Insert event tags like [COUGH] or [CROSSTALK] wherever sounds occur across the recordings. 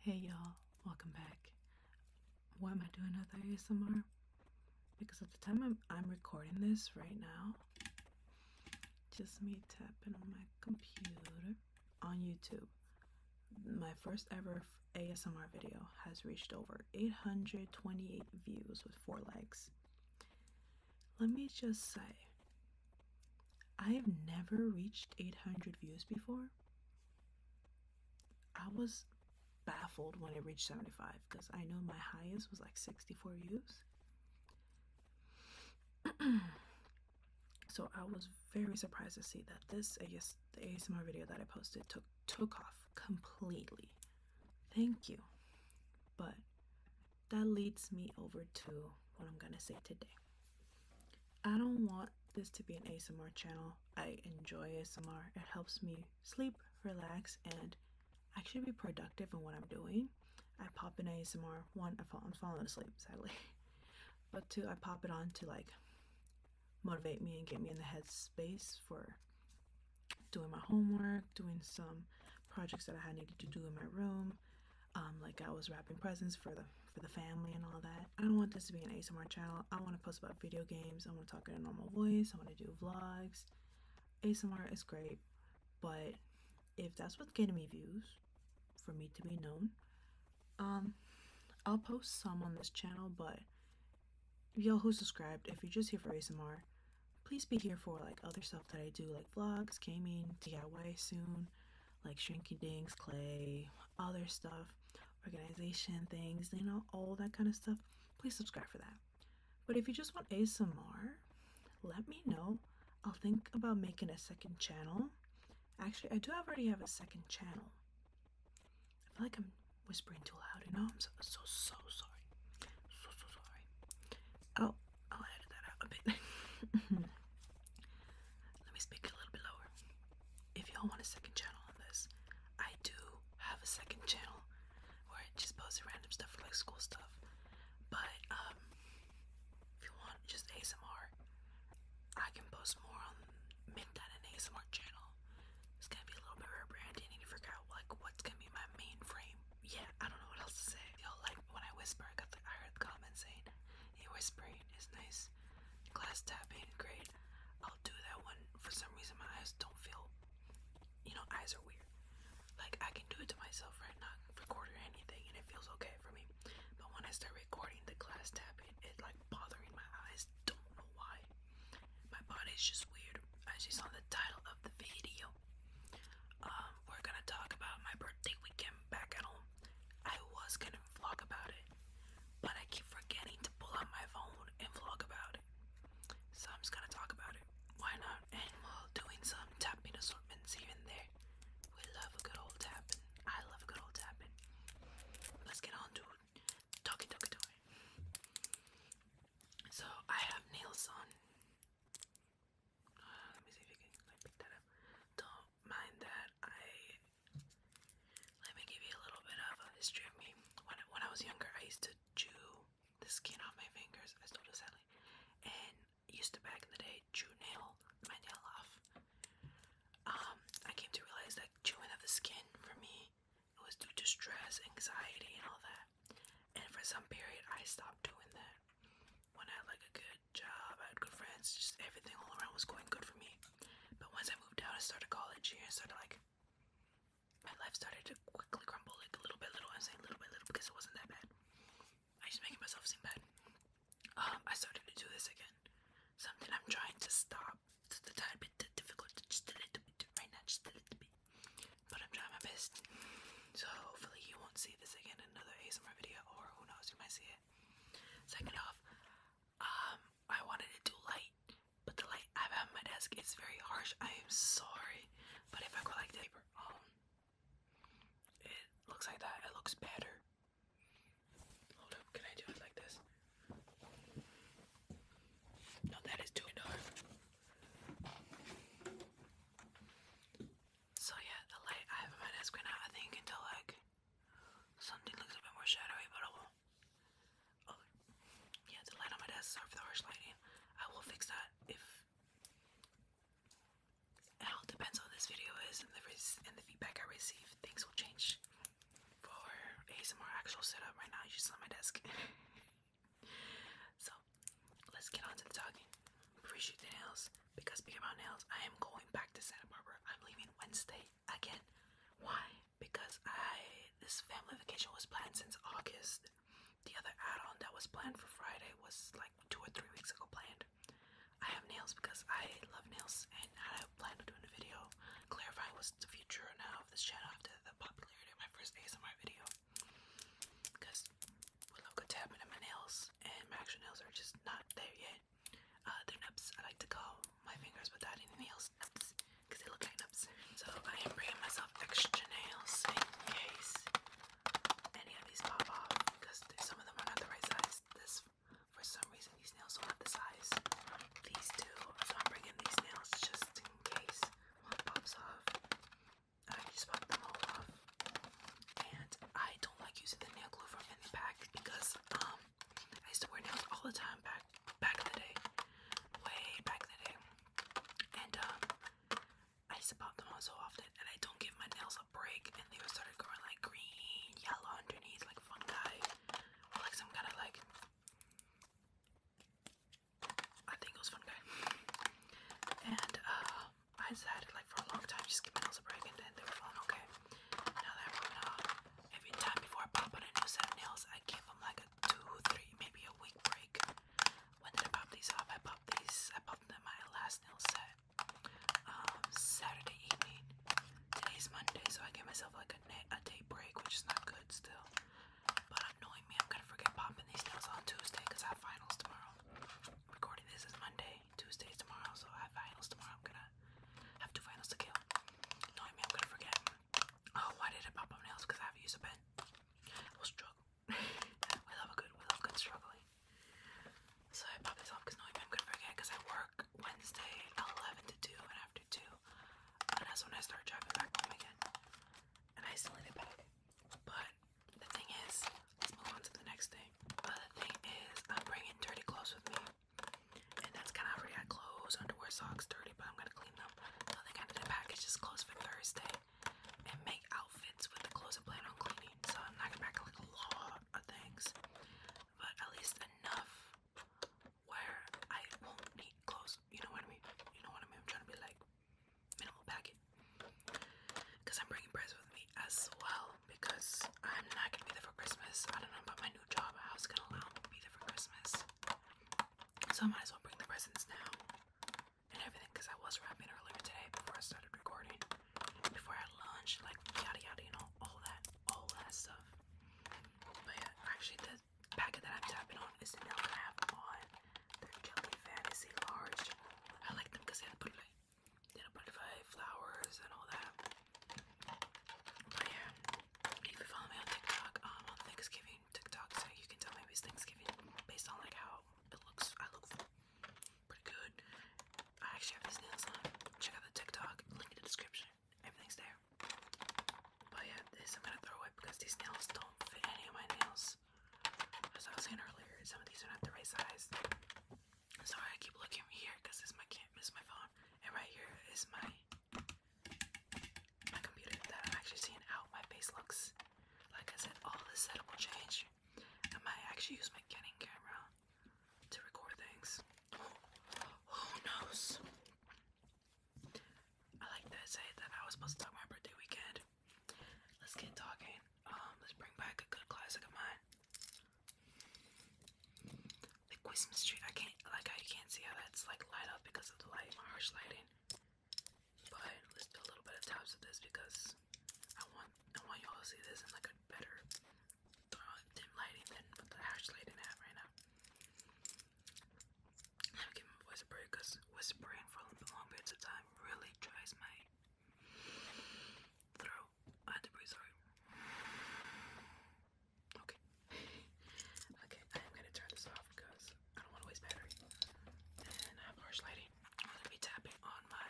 Hey y'all, welcome back. Why am I doing another ASMR? Because at the time I'm recording this right now, just me tapping on my computer on YouTube, my first ever ASMR video has reached over 828 views with four likes. Let me just say, I've never reached 800 views before. I was baffled when it reached 75 because I know my highest was like 64 views. [CLEARS THROAT] so I was very surprised to see that this I guess the ASMR video that I posted took took off completely. Thank you. But that leads me over to what I'm gonna say today. I don't want this to be an ASMR channel. I enjoy ASMR. It helps me sleep, relax, and actually be productive in what I'm doing. I pop in ASMR, one, I fall, I'm falling asleep, sadly. [LAUGHS] But two, I pop it on to like motivate me and get me in the headspace for doing my homework, doing some projects that I had needed to do in my room. Um, like I was wrapping presents for the for the family and all that. I don't want this to be an ASMR channel. I want to post about video games. I want to talk in a normal voice. I want to do vlogs. ASMR is great, but if that's what's getting me views, for me to be known, um, I'll post some on this channel, but y'all who subscribed, if you're just here for ASMR, please be here for like other stuff that I do, like vlogs, gaming, DIY soon, like Shrinky dings, clay, other stuff, organization things, you know, all that kind of stuff, please subscribe for that. But if you just want ASMR, let me know. I'll think about making a second channel. Actually, I do already have a second channel. I feel like I'm whispering too loud. You know, I'm so so, so sorry. So so sorry. Oh, I'll edit that out a bit. [LAUGHS] Let me speak a little bit lower. If y'all want a second channel on this, I do have a second channel where I just post random stuff for like school stuff. But um, if you want just ASMR, I can post more on Midnight and ASMR channel. It's gonna be a little bit rebranding Need to figure out like what's gonna be my main frame. Yeah, I don't know what else to say. Y'all like when I whisper I got the I heard the comment saying he whispered, his nice glass tapping. Great. I'll do that one. For some reason, my eyes don't feel. You know, eyes are weird. Like, I can do it to myself, right? now, recording anything, and it feels okay for me. But when I start recording the glass tapping, it's like bothering my eyes. Don't know why. My body's just weird. As you saw the title of the video, um, we're gonna talk about my birthday weekend back at home. I was gonna vlog about it, but I keep forgetting to pull out my phone and vlog about it. So I'm just gonna talk about it. Why not? And while doing some tapping assortments here and there, we love a good old tapping. I love a good old tapping. Let's get on to talking, talking, talking. So I have nails on. Uh, let me see if you can pick that up. Don't mind that. I let me give you a little bit of a history of me. When, when I was younger, I used to chew the skin off my fingers, I still do sadly, and used to back in the day chew nail my nail off. Um, I came to realize that chewing off the skin for me was due to stress, anxiety, and all that. And for some period, I stopped doing that. When I had like a good job, I had good friends, just everything all around was going good for me. But once I moved out, I started college here, started like my life started to quickly crumble, like a little by little. I'm saying little by little because it wasn't that bad. I just making myself seem bad. Um, I started to do this again. Something I'm trying to stop. It's a tad bit difficult, just a little bit right now, just a little bit. But I'm trying my best. So hopefully you won't see this again in another ASMR video, or who knows, you might see it. Second off, um, I wanted it too light, but the light I have on my desk is very harsh. I am sorry, but if I go like that, um, it looks like that. It looks better. Hold up, can I do it like this? No, that is too dark. So yeah, the light I have on my desk right now, I think you can tell like Something looks a bit more shadowy, but I will. Oh, yeah, the light on my desk. Sorry for the harsh lighting. I will fix that if it all depends on this video is and the feedback I receive. Things will change. For ASMR actual setup right now, you just on my desk. [LAUGHS] so let's get on to the talking. Appreciate the nails because speaking about nails, I am going back to Santa Barbara. I'm leaving Wednesday again. Why? Because I this family vacation was planned since August. The other add-on that was planned for Friday was like two or three weeks ago planned. I have nails because I love nails and I plan to do a video clarifying what's the future now of this channel after the popularity of my first ASMR video. Because we love good tapping at my nails and my actual nails are just not there yet. Uh, nubs. I like to call my fingers without any nails because they look like nubs. So I am bringing myself extra nails in case any of these pop off because some of them are not the right size. This, for some reason, these nails don't the size. These do. So I'm bringing these nails just in case one pops off. I just pop them all off. And I don't like using the nail glue from in the pack because um I used to wear nails all the time back back in the day, way back in the day, and um, I used to pop them on so often, and I don't give my nails a break, and they started growing like green, yellow underneath, like fungi, like some kind of like. I think it was fun And uh, I decided like for a long time just give my nails a break and then they were falling okay. Now that every time before I pop on a new set of nails, I give them like a two, three, maybe a week break. When did I pop these off? I popped these. I popped them my last nail set um, Saturday evening. Today is Monday, so I gave myself like a, day break, which is not good still. But annoying me, I'm gonna forget popping these nails on Tuesday because I have finals tomorrow. Recording this is Monday. Tuesday's tomorrow, so I have finals tomorrow. I'm gonna have two finals to kill. No, I mean I'm gonna forget. Oh, why did it pop up nails? Because I haven't used a pen. We'll struggle. [LAUGHS] we love a good, we love good struggling. So I popped this off because no, I'm gonna forget because I work Wednesday 11 to 2 and after 2. And that's when I start driving back home again. And I still need it back. But the thing is, let's move on to the next thing. But the thing is, I'm bringing dirty clothes with me. And that's kind of already got clothes, underwear, socks, dirty, but I'm gonna clean them. I think I did a package just clothes for Thursday and make outfits with the clothes I plan on cleaning. So I'm not going like a lot of things, but at least enough where I won't need clothes. You know what I mean? You know what I mean? I'm trying to be like minimal packet because I'm bringing breads with me as well because I'm not gonna be there for Christmas. I don't know about my new job, how it's gonna allow me to be there for Christmas. So I might as well bring the presents now and everything because I was wrapping earlier today before I started recording, before I lunch, like yada yada, you know, all that, all that stuff. But yeah, actually, the packet that I'm tapping on is the nail that have on. The Kelly Fantasy Large. I like them because they had butterfly, they had butterfly flowers and all that yeah, if you follow me on TikTok, um, on Thanksgiving TikTok, so you can tell maybe it's Thanksgiving based on like how it looks. I look pretty good. I actually have these nails on. Check out the TikTok. Link in the description. Everything's there. But yeah, this I'm gonna throw away because these nails don't fit any of my nails. As I was saying earlier, some of these are not the right size. Sorry, I keep looking here because this my can't miss my phone, and right here is my my computer that I'm actually seeing out. my face looks. Like I said, all this set will change. I might actually use my Canon camera to record things. [GASPS] Who knows? I like that I said that I was supposed to talk my birthday weekend. Let's get talking. Um, let's bring back a good classic of mine. The Christmas tree, I can't like I can't see how that's like light up because of the light, my harsh lighting. But let's do a little bit of tops of this because I want I want y'all to see this in like a better uh, dim lighting than what the harsh lighting I have right now. Let me give my voice a break because whispering for long periods of time really tries my throat. I had to breathe sorry. Okay. okay, I am gonna turn this off because I don't want to waste battery. And I have harsh lighting. I'm gonna be tapping on my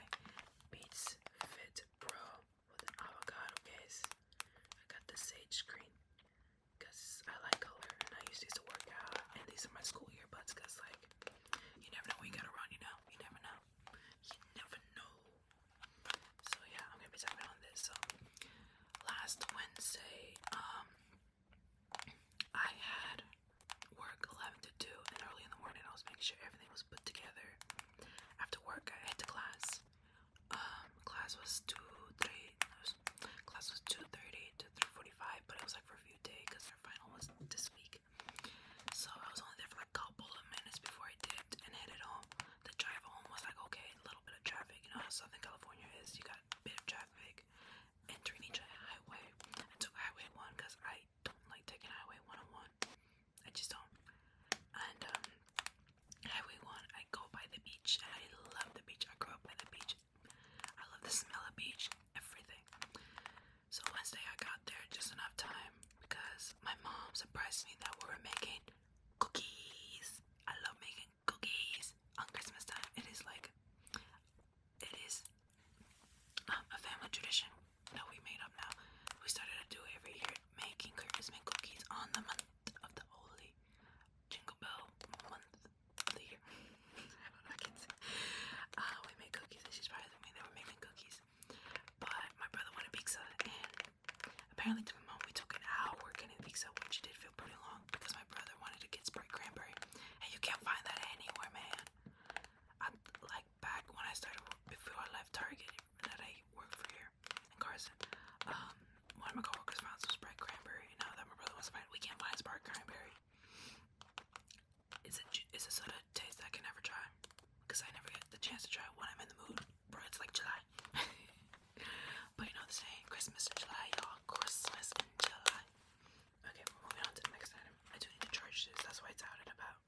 Beats Fit Pro with an avocado case. I got the sage green because I like color and I use these to work out. And these are my school earbuds because, like, you never know what you got run, you know. You never know. You never know. So yeah, I'm gonna be talking on this. So last Wednesday, um, I had work 11 to 2 and early in the morning I was making sure everything was put together. After work, I had to class. Um, class was 2, 3, was, class was 2.30 to 3.45, but it was like for a few days because our final was this week. So I was only there for like a couple of minutes before I dipped and headed home. The drive home was like, okay, a little bit of traffic. You know how Southern California is, you got a bit of traffic entering each highway. took Highway 1 because I don't like taking Highway 101. I just don't. And um, 1, I go by the beach. And I love the beach. I grew up by the beach. I love the smell of beach, everything. So Wednesday I got there just enough time because my mom surprised me that we were making cookies. I love making cookies on Christmas time. It is like, it is um, a family tradition that we made up now. We started to do it every year, making Christmas cookies on the month of the holy Jingle Bell month of the year. [LAUGHS] I can't say. Uh, we made cookies, and she's probably the one that we're making cookies. But my brother wanted pizza, and Apparently to we took an hour getting pizza, which did feel pretty long because my brother wanted to get sprite cranberry. And you can't find that anywhere, man. like back when I started before I left Target that I worked for here in Carson. Um, one of my coworkers found some sprite cranberry, now that my brother wants to find we can't find sprite cranberry. It's it's a soda taste I can never try because I never get the chance to try when I'm in the mood bro, it's like July. [LAUGHS] but you know the saying, Christmas in July, y'all. Christmas in July. Okay, moving on to the next item. I do need to charge this, that's why it's out and about.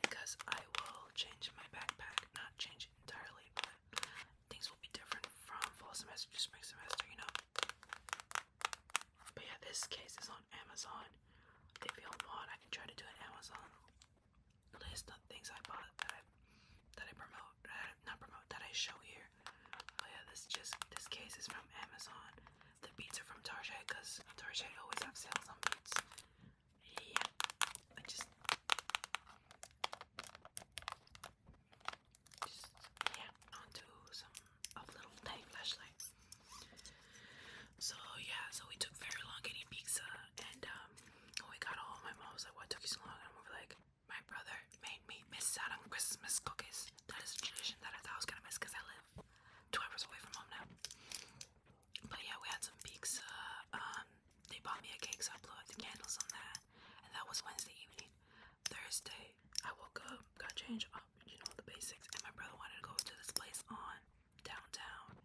Because I will change my backpack, not change entirely, but things will be different from fall semester to spring semester, you know. But yeah, this case is on Amazon. If y'all I can try to do an Amazon list of things I bought that I that I promote, that I, not promote, that I show here. Oh yeah, this just this case is from Amazon. The beats are from Target because Target always have sales on beats. Yeah, I just, just yeah, onto some little tiny flashlights. So yeah, so we took very long getting pizza, and um, we got home, my mom was like, What took you so long? And we were like, My brother made me miss out on Christmas cookies. That is a tradition that I thought I was gonna miss because I live two hours away from home now. But yeah, we had some pizza. Um, they bought me a cake, so I blew out the candles on that. And that was Wednesday evening. Thursday, I woke up, got changed up, oh, you know, the basics. And my brother wanted to go to this place on downtown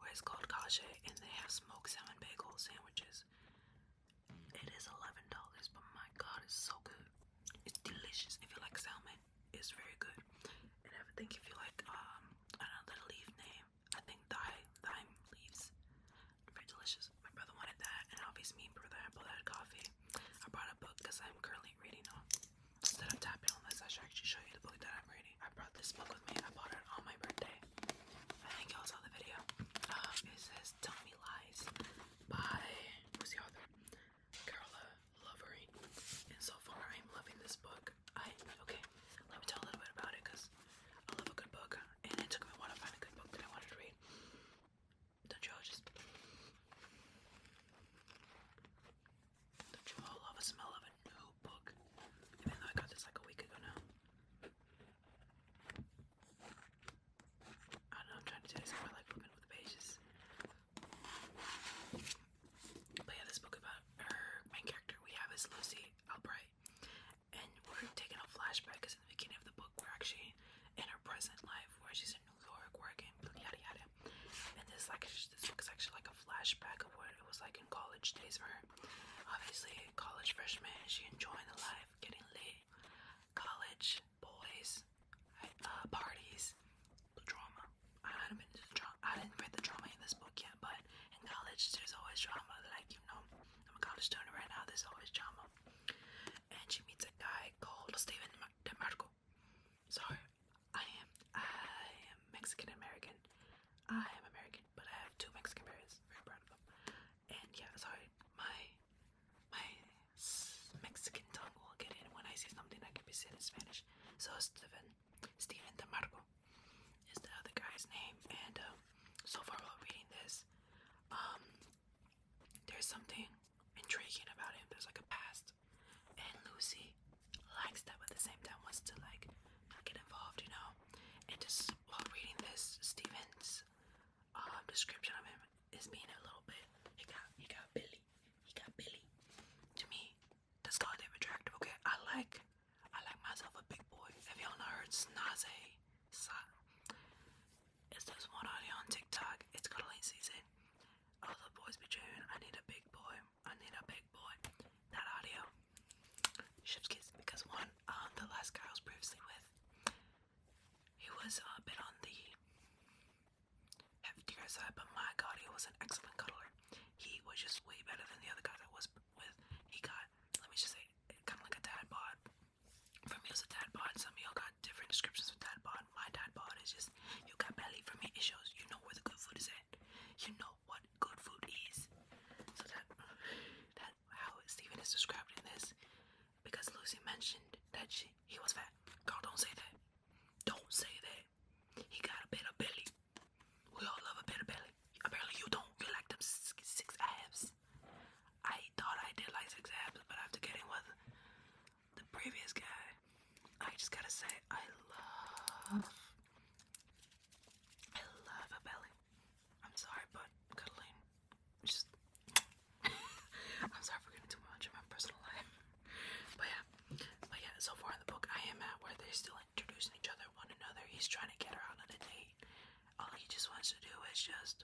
where it's called Kasha and they have smoked salmon bagel sandwiches. It is $11, but my god, it's so good. It's delicious. If you like salmon, it's very good. And I if you like, um, another leaf name, I think thyme, thyme leaves. Very delicious. My brother wanted that, and obviously me and brother had both had coffee. I brought a book because I'm currently reading on. Um, instead of tapping on this, I should actually show you the book that I'm reading. I brought this book with me. I bought it on my birthday. I think y'all saw the video. Um, it says Tell Me Lies by, who's the author? Carola Lovering. And so far, I'm loving this book. I, okay, let me tell a little bit about it because I love a good book. And it took me a while to find a good book that I wanted to read. Don't you all just. Don't you all love the smell of a new book? Even though I got this like a week ago now. I know, I'm trying to do this more like flipping over the pages. But yeah, this book about her main character we have is Lucy Albright. And we're taking a flashback because in the beginning of the book we're actually in her present life where she's in New York working, yada yada. And this like this book is actually like a flashback of what it was like in college days for her. Obviously, college freshman, she enjoying the life, getting late, College boys, uh, parties, drama. I haven't been into the drama. I didn't read the drama in this book yet, but in college, there's always drama. Like you know, I'm a college student right now. There's always drama. And she meets a guy called Steven DeMarco. Sorry, I am I am Mexican American. I am American, but I have two Mexican parents. Very proud of them. And yeah, sorry, my my Mexican tongue will get in when I see something that can be said in Spanish. So Stephen, Steven DeMarco is the other guy's name. And um, so far while reading this, um, there's something intriguing about him. There's like a past, and Lucy likes that, but at the same time wants to like not get involved, you know. And just while reading this, Steven's um, description of him is being a little bit. He got he got Billy. He got Billy. To me, that's goddamn attractive. Okay, I like I like myself a big boy. Have y'all not heard Snaze? It's this one audio on TikTok. It's called late season. All the boys be chewing. I need a big boy. I need a big boy. That audio. Chef's kids because one, um, the last guy I was previously with, he was a uh, bit on the heftier side, but my god, he was an excellent cuddler. He was just way better than the other guy that was with. He got, let me just say, kind of like a dad bod. For me, it was a dad bod. Some of y'all got different descriptions of dad bod. My dad bod is just, you got belly. For me, it shows you know where the good food is at you know what good food is. So that that how Steven is described this, because Lucy mentioned that she he was fat. Girl, don't say that. Don't say that. He got a bit belly. We all love a bit belly. Apparently you don't. You like them six abs. I thought I did like six abs, but after getting with the previous guy, I just gotta say I love I love a belly. I'm sorry, but cuddling just [LAUGHS] I'm sorry for getting too much of my personal life. [LAUGHS] But yeah. But yeah, so far in the book I am at where they're still introducing each other one another. He's trying to get her out on a date. All he just wants to do is just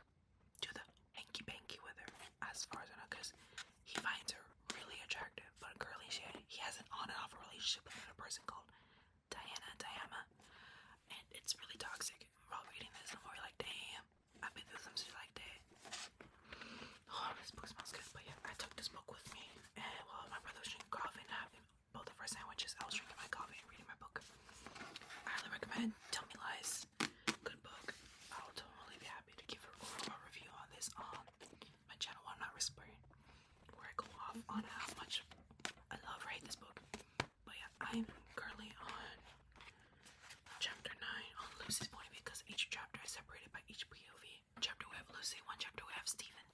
do the hanky panky with her, as far as I know, because he finds her really attractive, but girly she, he has an on and off relationship with another person called Diana, Diana, and it's really toxic. While reading this, I'm already like, damn, I've been through some shit like that. Oh, this book smells good, but yeah, I took this book with me, and while my brother was drinking coffee and having both of our sandwiches, I was drinking my coffee and reading my book. highly recommend Tell Me Lies. Good book. I'll totally be happy to give a review on this on um, my channel. i not whispering where I go off on how much I love or this book. But yeah, I'm currently on chapter 9 on Lucy's point of view because each chapter is separated by each POV. Chapter we have Lucy, one chapter we have Steven.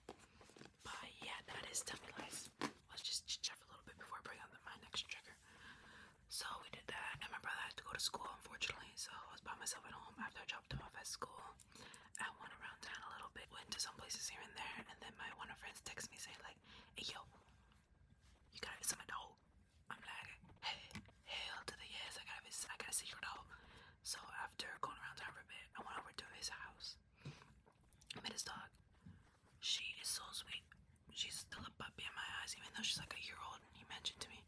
But yeah, that is Tummy Lies. Let's just chat for a little bit before I bring up my next trigger. So we did that, and my brother had to go to school, unfortunately. So I was by myself at home after I dropped him off at school. I went around town a little bit, went to some places here and there, and then my one of friends texts me saying like, "Hey yo, you gotta visit my dog." I'm like, "Hey, hell to the yes! I gotta visit. I gotta see dog." So after going around town for a bit, I went over to his house. met his dog. She is so sweet. She's still a puppy in my eyes, even though she's like a year old. And he mentioned to me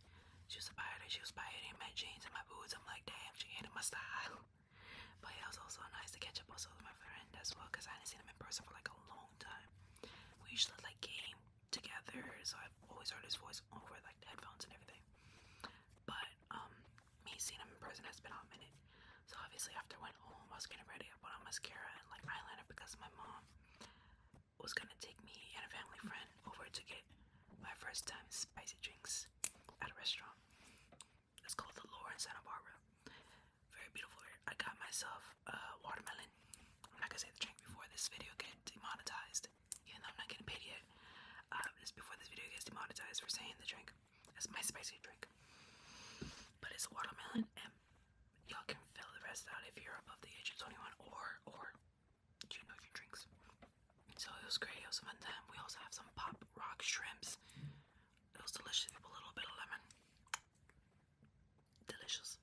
she was a biter. She was biting my jeans and my boots. I'm like, damn, she ain't in my style. [LAUGHS] But it was also nice to catch up also with my friend as well because I hadn't seen him in person for like a long time. We usually like game together, so I've always heard his voice over like the headphones and everything. But um, me seeing him in person has been a minute. So obviously after I went home, I was getting ready. I put on mascara and like eyeliner because my mom was gonna take me and a family friend over to get my first time spicy drinks at a restaurant. It's called the Lore in Santa Barbara. Very beautiful. I got myself a watermelon. I'm not gonna say the drink before this video gets demonetized, even though I'm not gonna pay yet. Uh, um, just before this video gets demonetized for saying the drink. That's my spicy drink. But it's a watermelon, and y'all can fill the rest out if you're above the age of 21 or or you know your drinks. So it was great. It was fun time. We also have some pop rock shrimps. It was delicious with a little bit of lemon. Delicious.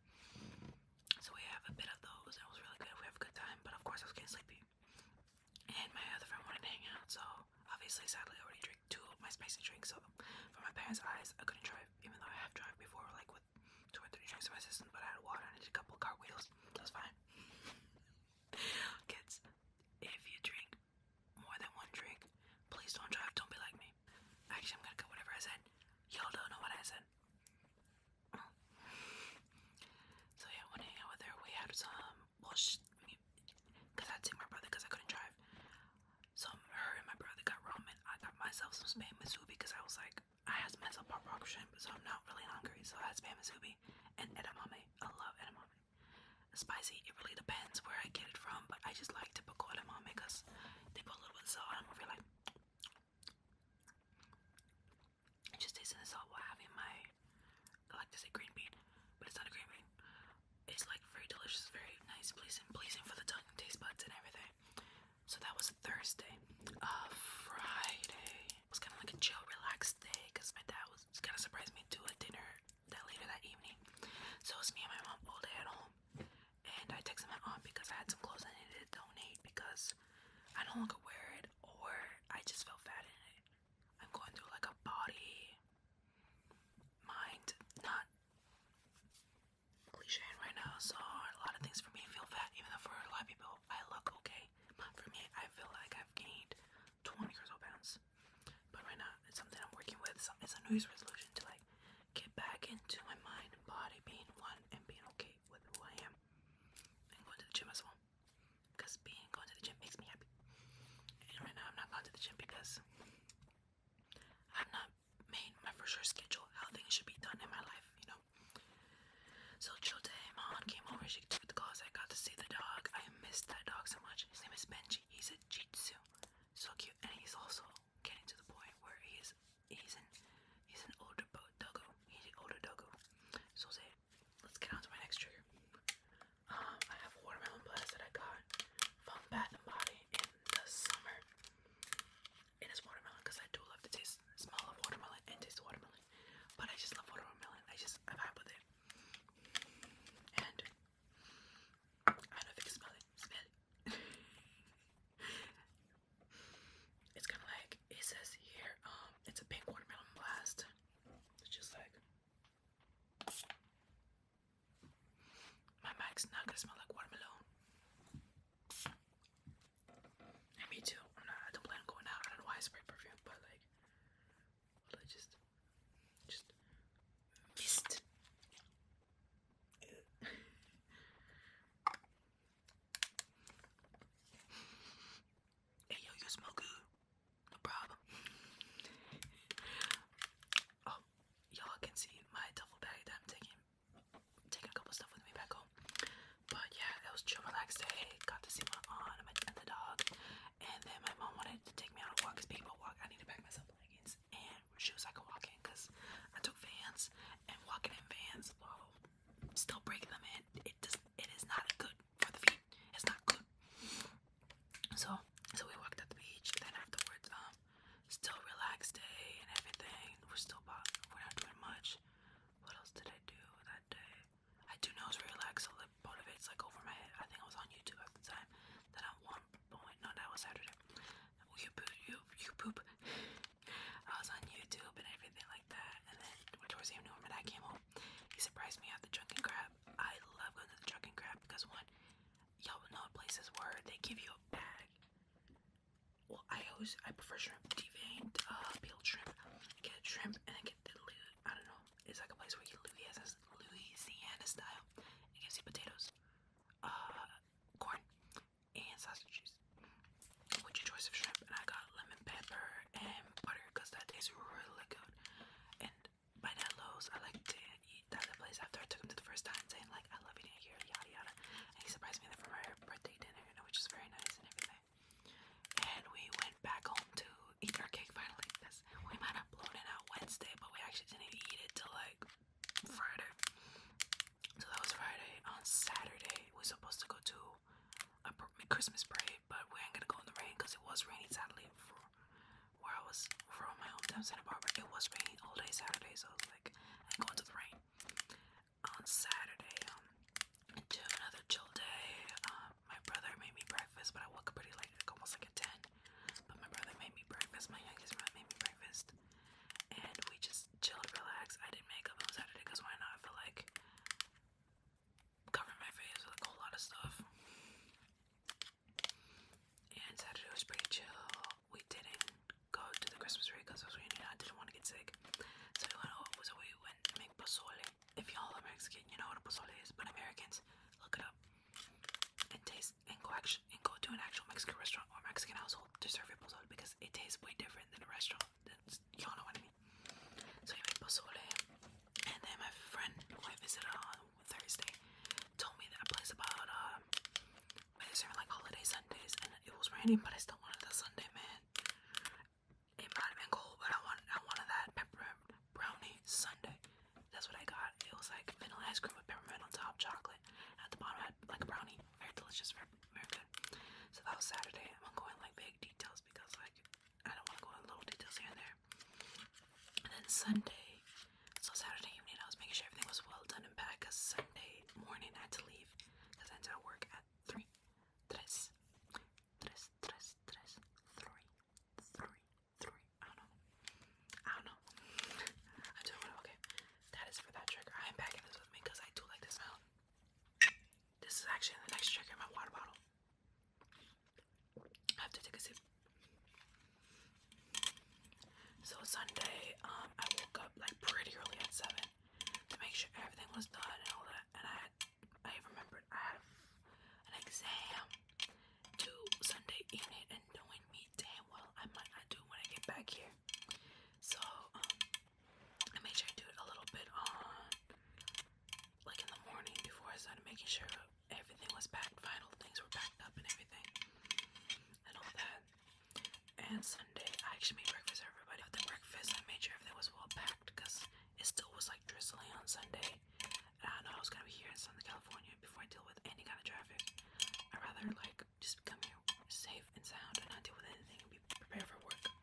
So we have a bit of those. It was really good. We have a good time. But of course, I was getting sleepy. And my other friend wanted to hang out. So obviously, sadly, I already drank two of my spicy drinks. So for my parents' eyes, I couldn't drive, even though I have drive before, like with two or three drinks in my system. But I had water I did a couple cartwheels. That was fine. [LAUGHS] Kids, if you drink more than one drink. Please don't drive. Don't be like me. Actually, I'm gonna cut whatever I said. Y'all don't know what I said. [CLEARS THROAT] So yeah, when hanging out with her, we had some. Well, she, me, cause I had to take my brother, cause I couldn't drive. So her and my brother got ramen. I got myself some spam masubi because I was like, I had to myself pop rock shrimp, so I'm not really hungry. So I had spam masubi and edamame. I love edamame spicy. It really depends where I get it from, but I just like to put cardamom because they put a little bit of salt. I am not feel like i just tasting the salt while having my I like to say green bean, but it's not a green bean. It's like very delicious, very nice, pleasing, pleasing for the tongue, taste buds, and everything. So that was Thursday. Uh, Friday it was kind of like a chill, relaxed day because my dad was kind of surprised me to a dinner that later that evening. So it was me and my mom all day at home. And I texted my mom because I had some clothes I needed to donate because I no longer wear it or I just felt fat in it. I'm going through like a body, mind, not cliche right now. So a lot of things for me feel fat, even though for a lot of people I look okay. But for me, I feel like I've gained 20 pounds. But right now, it's something I'm working with. it's a New resolution to like get back into my mind body being one and being okay with who I am. And going to the gym as well. Because being going to the gym makes me happy. And right now, I'm not going to the gym because I've not made my first sure schedule how things should be done in my life, you know. So chill day, my aunt came over, she took the clothes. I got to see the dog. I missed that dog so much. His name is Benji he's a jitsu, so cute, and he's also getting to the point where he's he's an he's an older doggo. He's an older doggo. So say, let's get on to my next trigger. Um, I have watermelon blast that I got from Bath and Body in the summer. And it's watermelon because I do love the taste smell of watermelon and taste watermelon. But I just love watermelon. I just I vibe with it. And I don't know if you can smell it. Smell it. [LAUGHS] it's kind of like it says here. Um, it's a pink watermelon blast. It's just like my mic's not gonna smell like watermelon. And me too. I'm not. I don't plan on going out. I don't know why I spray perfume, but like I just, just missed. hey yo, you smell good. No problem. [LAUGHS] oh, y'all can see my duffel bag that I'm taking. Taking a couple stuff with me back home, but yeah, it was chill, relaxed day. Got to see my aunt and the dog, and then my mom wanted to take me out on a walk because people walk, I need to pack myself leggings and shoes I can walk in because I took vans and walking in vans while still breaking them in, it does it is not good for the feet. It's not good. So so we walked at the beach, then afterwards, um, still relaxed day and everything. We're still we're not doing much. What else did I do that day? I do know relax a little clip like over my head. I think I was on YouTube at the time. Then at one point, no, that was Saturday. You poop, you, you poop. I was on YouTube and everything like that. And then towards the end when I came home, he surprised me at the Drunken Crab. I love going to the Drunken Crab because one, y'all know places where they give you a bag. Well, I always I prefer shrimp deveined, uh peeled shrimp. get shrimp and get the I don't know. It's like a place where you Louisiana, Louisiana style. It gives you potatoes, uh, corn, and sausage cheese. With your choice of shrimp, and I got lemon pepper and butter because that tastes really good. And by that Lowe's, I like to eat that other place after I took him to the first time, saying like, "I love eating here," yada yada. And he surprised me there for my birthday dinner, you know, which is very nice and everything. And we went back home to eat our cake finally. This we might upload it out Wednesday, but we actually didn't eat it till like Friday. So that was Friday. On Saturday, we we're supposed to go to a Christmas parade, but we ain't gonna go in the rain because it was raining sadly for where I was from my hometown Santa Barbara. It was raining all day Saturday, so I was like, I'm going to the rain. On Saturday, to um, another chill day. Um, my brother made me breakfast, but I woke up pretty late, like almost like a 10. But my brother made me breakfast, my youngest brother made me breakfast. And we just chilled, relaxed. I didn't make up on Saturday because why not? I feel like covering my face with a whole lot of stuff. And Saturday was pretty chill. We didn't go to the Christmas tree because it was raining. I didn't want to get sick. So we went, over, so we went to make pozole. If y'all are Mexican, you know what a pozole is, but Americans, look it up and taste and go action, and go to an actual Mexican restaurant or Mexican household to serve your pozole because it tastes way different than a restaurant. Y'all know what I mean. So I pozole, and then my friend who visited on Thursday told me that place about um, uh, they serve like holiday Sundays, and it was raining, but I still wanted the Sunday, man. It might have been cold, but I wanted I wanted that pepper brownie Sunday. That's what I got. It was like vanilla ice cream with peppermint on top, chocolate. At the bottom, had like a brownie. Very delicious, very, good. So that was Saturday. I'm not going like big details because like I don't want to go in little details here and there. And then Sunday, so Saturday evening, I was making sure everything was well done and packed. Cause Sunday morning I had to leave because I had to work at three, tres, tres, tres, three, three, three. I don't know. I don't know. I do know. Okay, that is for that trigger. I am packing this with me because I do like this smell. This is actually the next trigger in my water bottle. I have to take a sip. So Sunday, um, I woke up like pretty early at seven to make sure everything was done and all that. And I, had, I remembered I had an exam to Sunday evening and doing me damn well I might not do when I get back here. So um, I made sure I do it a little bit on like in the morning before I started making sure everything was packed, final things were packed up and everything and all that. And Sunday I actually made breakfast for everybody. the breakfast I made sure that was well packed because it still was like drizzling on Sunday. And I know I was gonna be here in Southern California before I deal with any kind of traffic. I'd rather like just come here safe and sound and not deal with anything and be prepared for work. Oh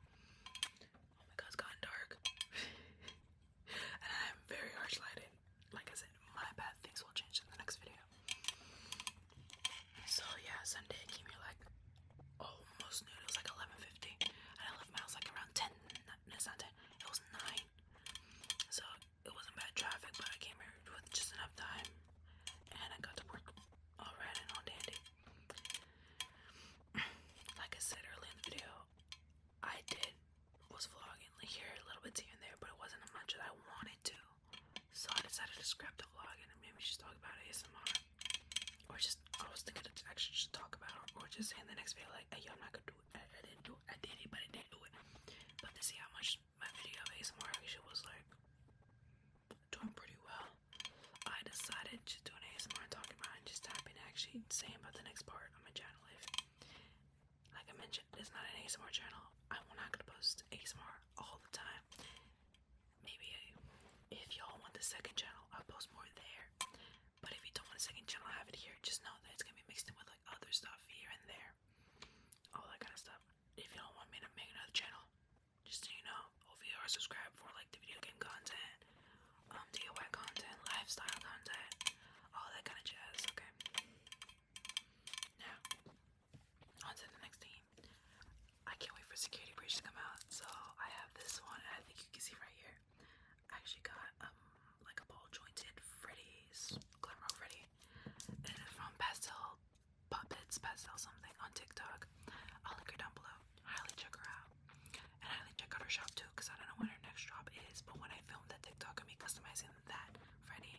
my god, it's gotten dark. [LAUGHS] and I'm very harsh lighted. Like I said, my bad things will change in the next video. So yeah, Sunday I came here like almost noon. It was like 11.50. And I left my house like around 10. No, it's not 10. It was 9. So it wasn't bad traffic, but I came here with just enough time, and I got to work all right and all dandy. [CLEARS THROAT] like I said earlier in the video, I did was vlogging here a little bit here and there, but it wasn't as much as I wanted to, so I decided to scrap the vlog and maybe just talk about ASMR, or just I was thinking to actually just talk about, or just say in the next video like, hey, yo, I'm not gonna do I, didn't do it. I did it, but I didn't do it. But to see how much my video of ASMR actually was like doing pretty well, I decided to do an ASMR and talking about and just type in actually saying about the next part on my channel. If, like I mentioned, it's not an ASMR channel, I'm not gonna post ASMR all the time. Maybe if y'all want the second channel, I'll post more there. But if you don't want a second channel, i have it here. Just know that it's gonna be mixed in with other stuff here and there, all that kind of stuff. If you do want me to make another channel, just so you know, hopefully you are subscribed for like the video game content, um, DIY content, lifestyle content, all that kind of jazz. Okay. Now, on the next theme. I can't wait for Security Breach to come out. So I have this one. I think you can see right here. I actually got um, like a ball jointed Freddy's Glimmer Freddy. It is from Pastel Puppets Pastel something on TikTok. I'll link her down below. Highly check her out. And highly check out her shop too, because I don't know when her next shop is, but when I filmed that TikTok of me customizing that Freddy,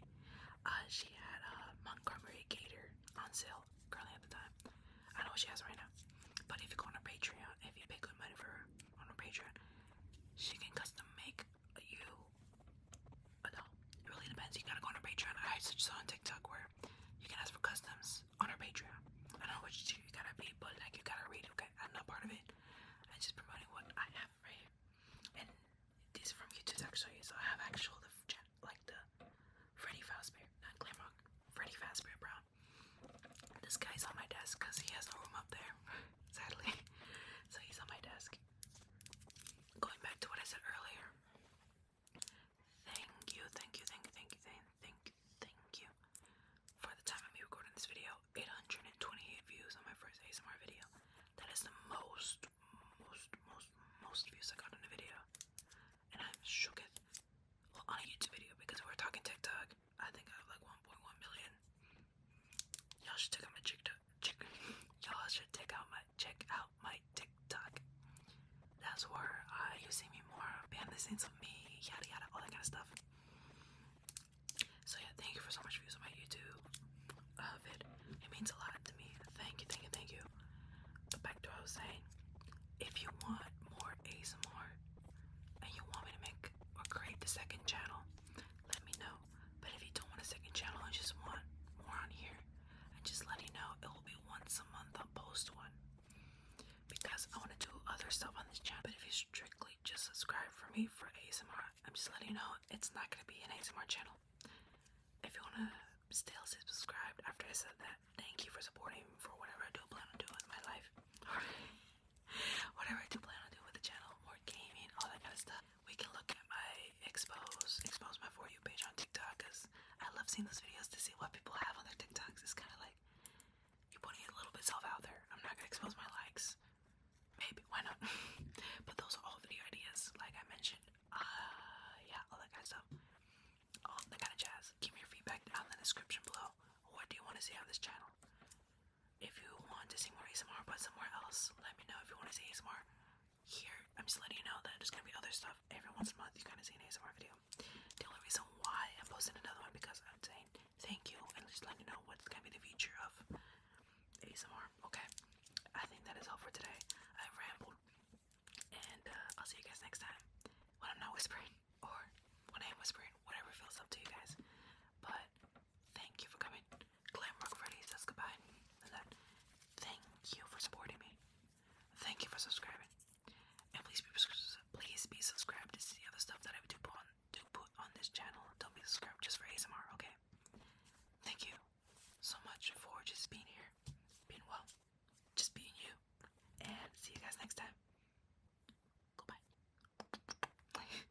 uh she had a Montgomery Gator on sale currently at the time. I know what she has right now. But if you go on her Patreon, if you pay good money for her on her Patreon, she can custom make you no, it really depends. You gotta go on our Patreon. I just saw on TikTok where you can ask for customs on our Patreon. I don't know which tier you gotta be, but like you gotta read. Okay, I'm not part of it. I'm just promoting what I have for you. And these are from YouTube actually, so I have actual the like the Freddy Fazbear, not Glamrock, Freddy Fazbear Brown. This guy's on my desk because he has no room up there. [LAUGHS] sadly. So he's on my desk. Going back to what I said earlier. Thank you, thank you, thank you, thank you, thank you, thank you. For the time of me recording this video, 828 views on my first ASMR video. That is the most, most, most, most views I got on a video. And I'm shook on a YouTube video because we're talking TikTok. I think I have like 1.1 million Y'all should check out my TikTok. Y'all should check out my check out my TikTok. That's where you see me more behind the scenes of me, yada yada, all that kind of stuff. So yeah, thank you for so much views on my YouTube vid. It means a lot to me. Thank you, thank you, thank you. back to what I was saying. If you want more ASMR and you want me to make or create the second channel, let me know. But if you don't want a second channel and just want more on here, and just let you know. It will be once a month I'll post one. Because I want to do other stuff on this channel. But if you strictly just subscribe for me for ASMR, I'm just letting you know it's not going to be an ASMR channel. If you want to still subscribe after I said that, thank you for supporting me for whatever I do plan on doing in my life. [LAUGHS] Whatever I do plan on doing with the channel, more gaming, all that kind of stuff. We can look at my expose, expose my for you page on TikTok because I love seeing those videos to see what people have on their TikToks. It's kind of like you're putting a little bit self out there. I'm not gonna expose my likes. Maybe why not? [LAUGHS] but those are all video ideas, like I mentioned. Uh, yeah, all that kind of stuff. All that kind of jazz. Give me your feedback down in the description below. What do you want to see on this channel? if you want to see more ASMR but somewhere else, let me know if you want to see ASMR here. I'm just letting you know that there's gonna be other stuff every once in a month. You're gonna see an ASMR video. The only reason why I'm posting another one because I'm saying thank you and just letting you know what's gonna be the future of ASMR. Okay, I think that is all for today. I rambled, and uh, I'll see you guys next time when I'm not whispering [LAUGHS] or when I am whispering, whatever feels up to you guys. But Thank you for coming. Glam Freddy says goodbye. And then, thank you for supporting me. Thank you for subscribing. And please be please be subscribed to see other stuff that I do put on this channel. Don't be subscribed just for ASMR, okay? Thank you so much for just being here, being well, just being you. And see you guys next time. Goodbye. [LAUGHS]